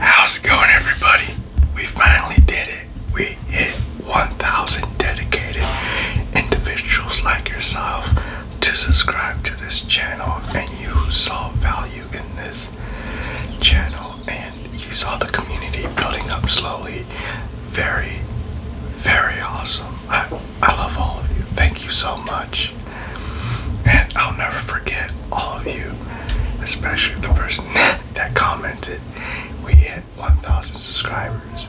How's it going, everybody? We finally did it. We hit 1,000 dedicated individuals like yourself to subscribe to this channel, and you saw value in this channel, and you saw the community building up slowly. Very, very awesome. I, I love all of you. Thank you so much. And I'll never forget all of you, especially the person that commented. We hit 1,000 subscribers.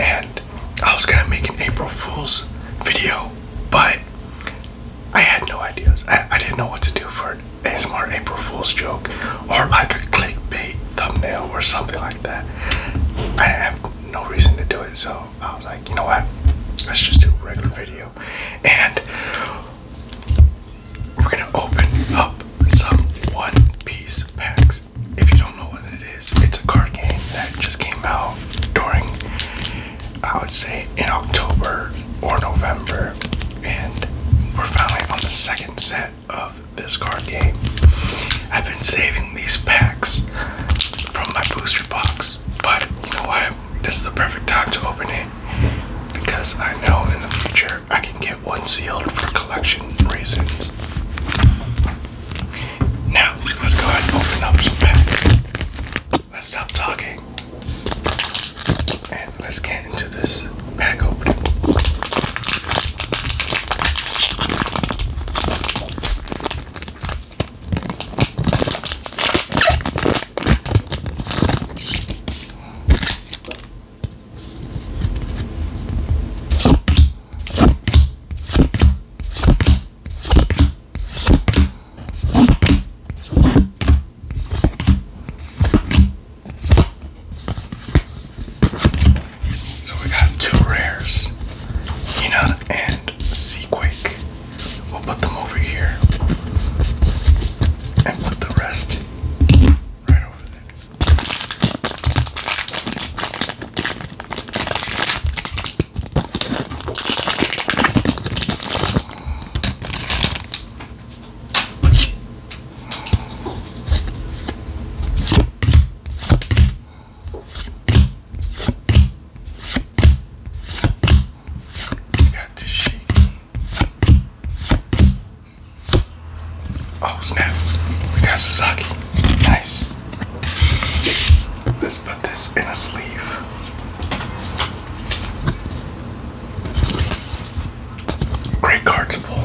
And I was gonna make an April Fool's video, but I had no ideas. I, I didn't know what to do for an ASMR April Fool's joke or like a clickbait thumbnail or something like that. I have no reason to do it, so I was like, you know what? Let's just do a regular video. And we're gonna open up some One Piece packs. If you don't know what it is, it's a card game that just came out during, I would say, in October or November. And we're finally on the second set of this card game. I've been saving these packs from my booster box but you know what? This is the perfect time to open it because I know in the future I can get one sealed for collection reasons. Now, let's go ahead and open up some packs. Let's stop talking and let's get into this pack opening. So we got two rares, Cena and Seaquake. We'll put them over here and put the rest right over there. Got this shit. Oh snap. We got sake. Nice. Let's put this in a sleeve. Great card pull.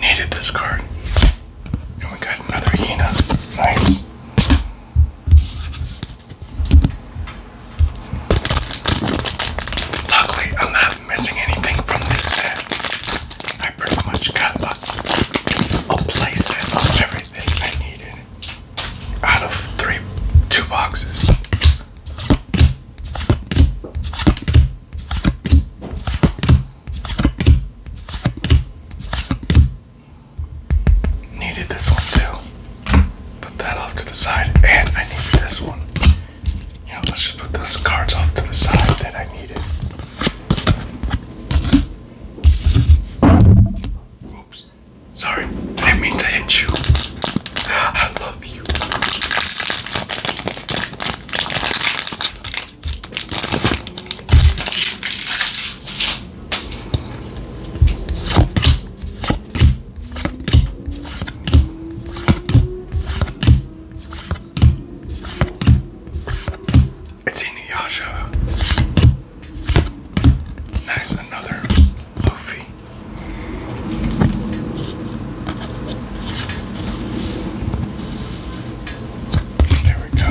Needed this card. And we got another Hina. Nice. Luckily, I'm not missing anything from this set. I pretty much got a, a of everything I needed out of three, two boxes. Needed this one too. Put that off to the side, and I need this one. You let's just put those cards off to the side that I needed. Oops. Sorry, I didn't mean to hit you. I love you. It's Inuyasha. Nice, another Luffy. There we go.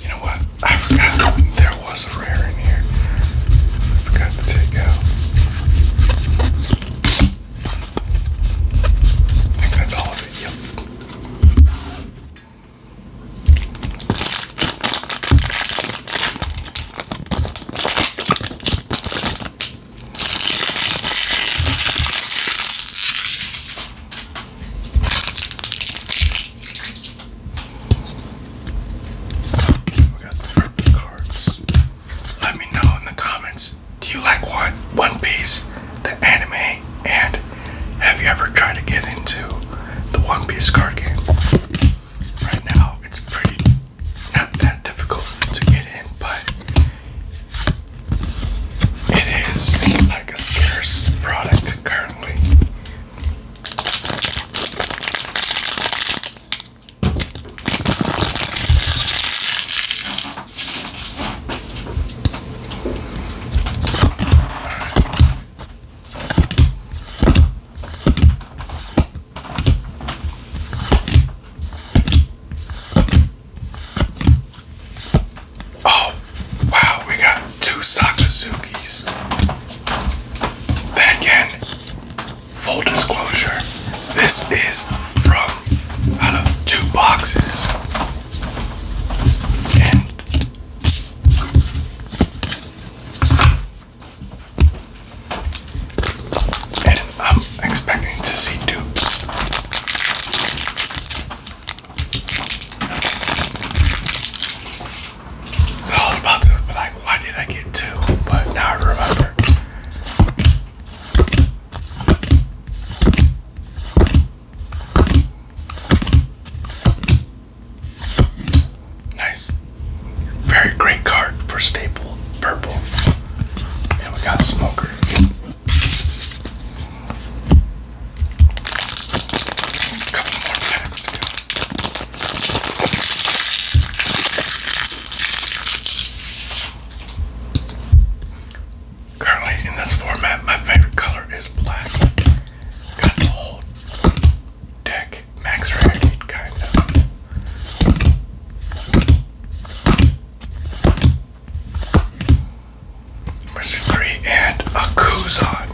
You know what? I forgot there was a rare in here. I forgot to take out. I think all of it. Yep. We got purple cards. Let me know in the comments. Do you like what One Piece, the anime, and have you ever tried to get into the One Piece card game? Right now, it's pretty it's not that difficult to get in, but it is like a scarce product currently. Oh, wow, we got two Sakazukis. Then again, full disclosure, this is from out of two boxes. And and I'm expecting to see dupes. So I was about to be like, why did I get two? But now I remember. Nice. Very great card for staple purple. And we got smoker. Currently in this format, my favorite color is black. Got the whole deck max rarity, kind of. Mercy and a Kuzon.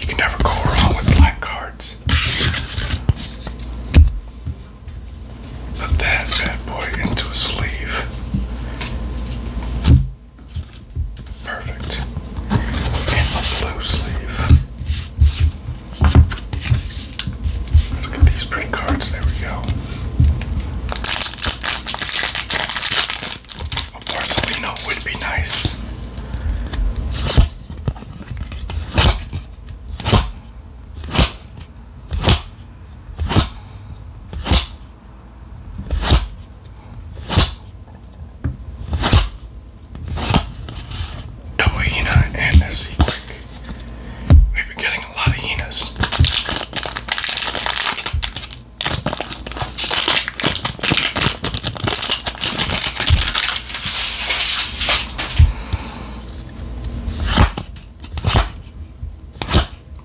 You can never go wrong with black cards. Put that bad boy into a sleeve. Perfect. And a blue sleeve look at these pretty cards. There we go. A Barcelona would be nice double Hina and a Z Quick. We've been getting a lot of Hinas.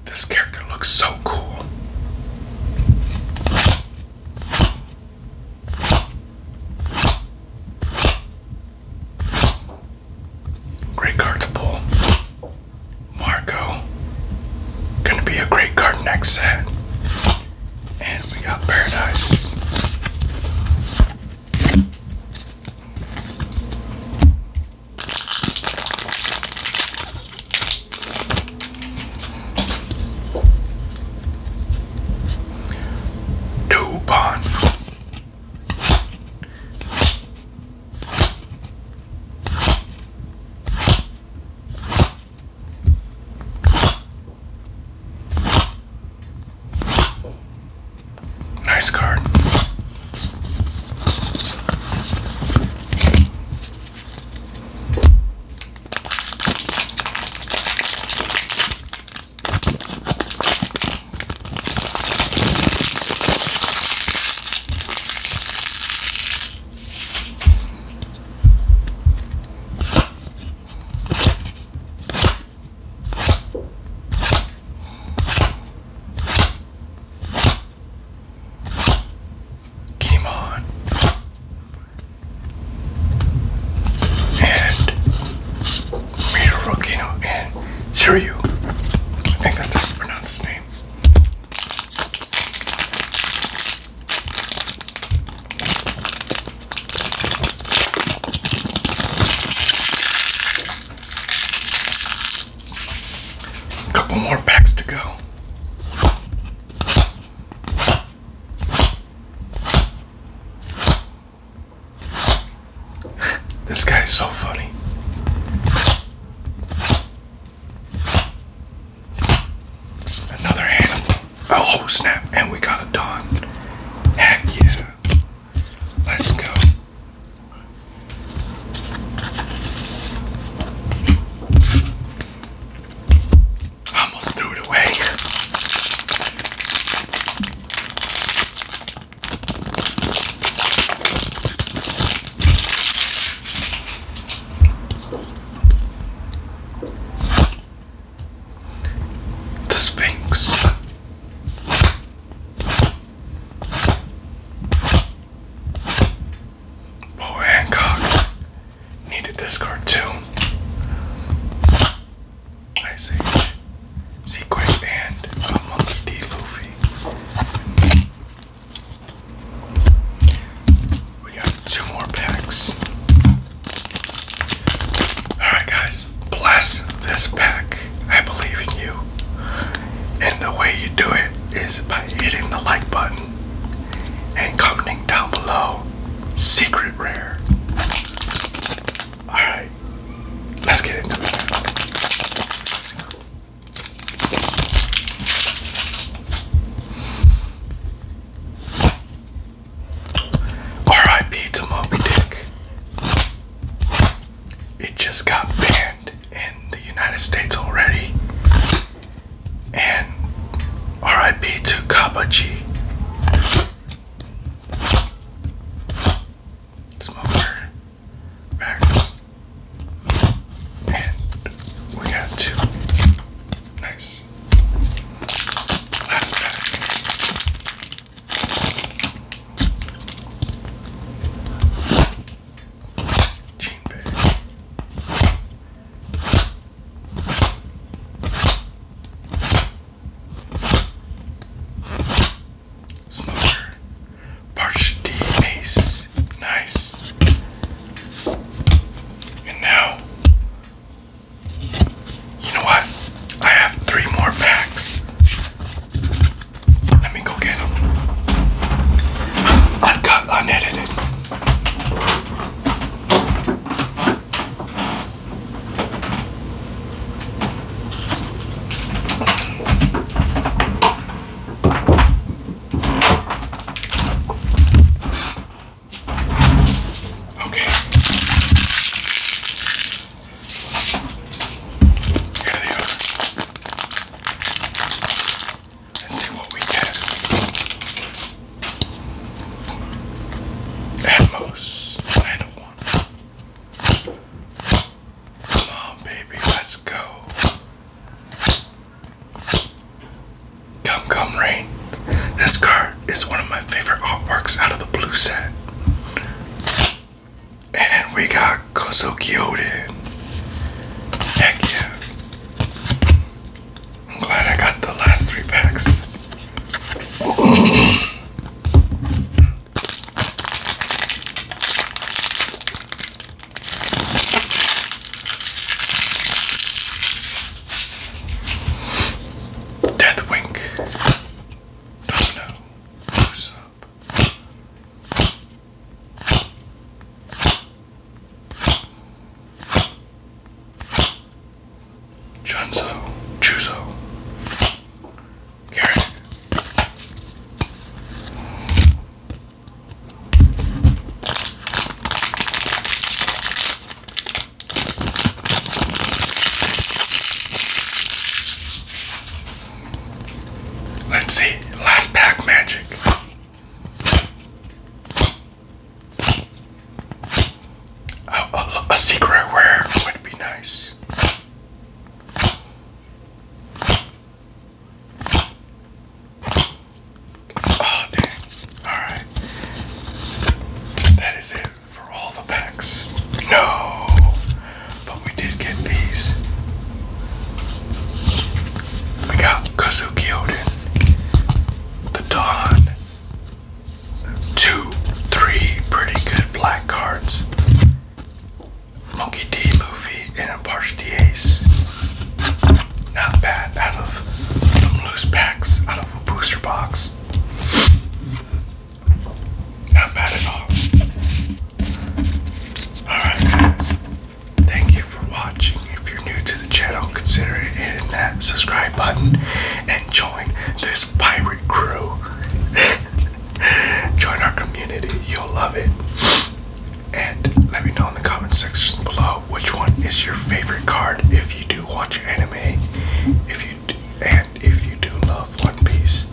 This character looks so cool. Great card to pull. Marco. Gonna be a great card next set. And we got Paradise. Dubon. Nice card came on and Miro Rocchino and Shiryu. I think that's pronounce his name. A couple more packs to go this guy is so funny. Another animal. Oh, oh snap! And we got a dawn. Heck yeah! Let's go. almost threw it away. The Sphinx. Paul Hancock needed this card too. Ice Age, Sequest, and uh, Monkey D. Luffy. We got two more packs. Alright, guys, bless this pack. I believe in you. And the way you do it is by hitting the like button and commenting down below secret rare all right, let's get into it. R.I.P. to Moby Dick. It just got banned in the United States already. And R.I.P. to Kaba smoker racks. And we got two. Nice. Last pack. Jean bag. Smoker. Parched base. Nice. And now, you know what? I have three more packs. Let me go get them. Uncut, unedited. Okay. Here they are. Let's see what we get. Atmos, I don't want Come on, baby, let's go. Come, come, rain. This card is one of my favorite artworks out of the blue set. And we got Kozuki Kyoden. Heck yeah. I'm glad I got the last three packs. Deathwink, Domino, Goose Up. Chunzo, Chuzo, Carrot. Let's see, last pack magic. A, a, a secret rare would be nice. Oh, dang. Alright. That is it for all the packs. No! But we did get these. We got Kazuki Odin, the Dawn, two, three pretty good black cards. Monkey D, Luffy, and a Parch D Ace. Not bad out of some loose packs, out of a booster box. Not bad at all. Alright guys, thank you for watching. If you're new to the channel, consider hitting that subscribe button and join this pirate crew. join our community, you'll love it. And let me know in the comment section below which one is your favorite card if you do watch anime. If you do, and if you do love One Piece.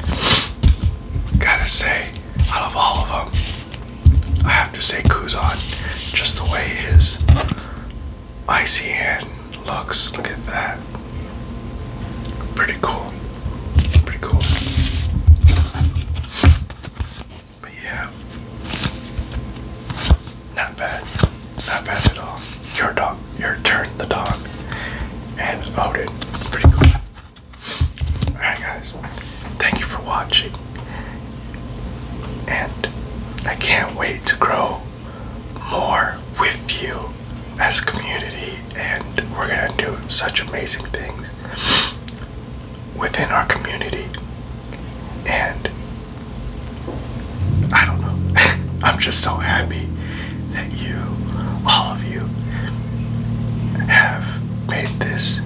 Gotta say, I love all of them. I have to say Kuzon, just the way his icy hand looks. Look at that. Pretty cool. Pretty cool. But yeah. Not bad. Not bad at all. Your dog. Your turn, the dog. And Odin. Oh, pretty cool. Alright, guys. Thank you for watching. And I can't wait to grow more with you as a community, and we're gonna do such amazing things within our community. And I don't know, I'm just so happy that you, all of you, have made this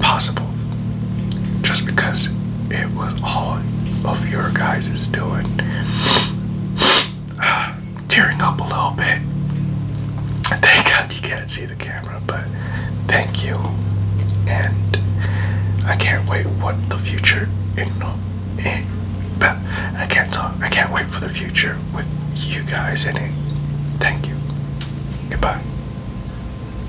possible just because it was all of your guys is doing. Uh, tearing up a little bit. Thank God you can't see the camera, but thank you. And I can't wait what the future in, in but I can't talk. I can't wait for the future with you guys in it. Thank you. Goodbye.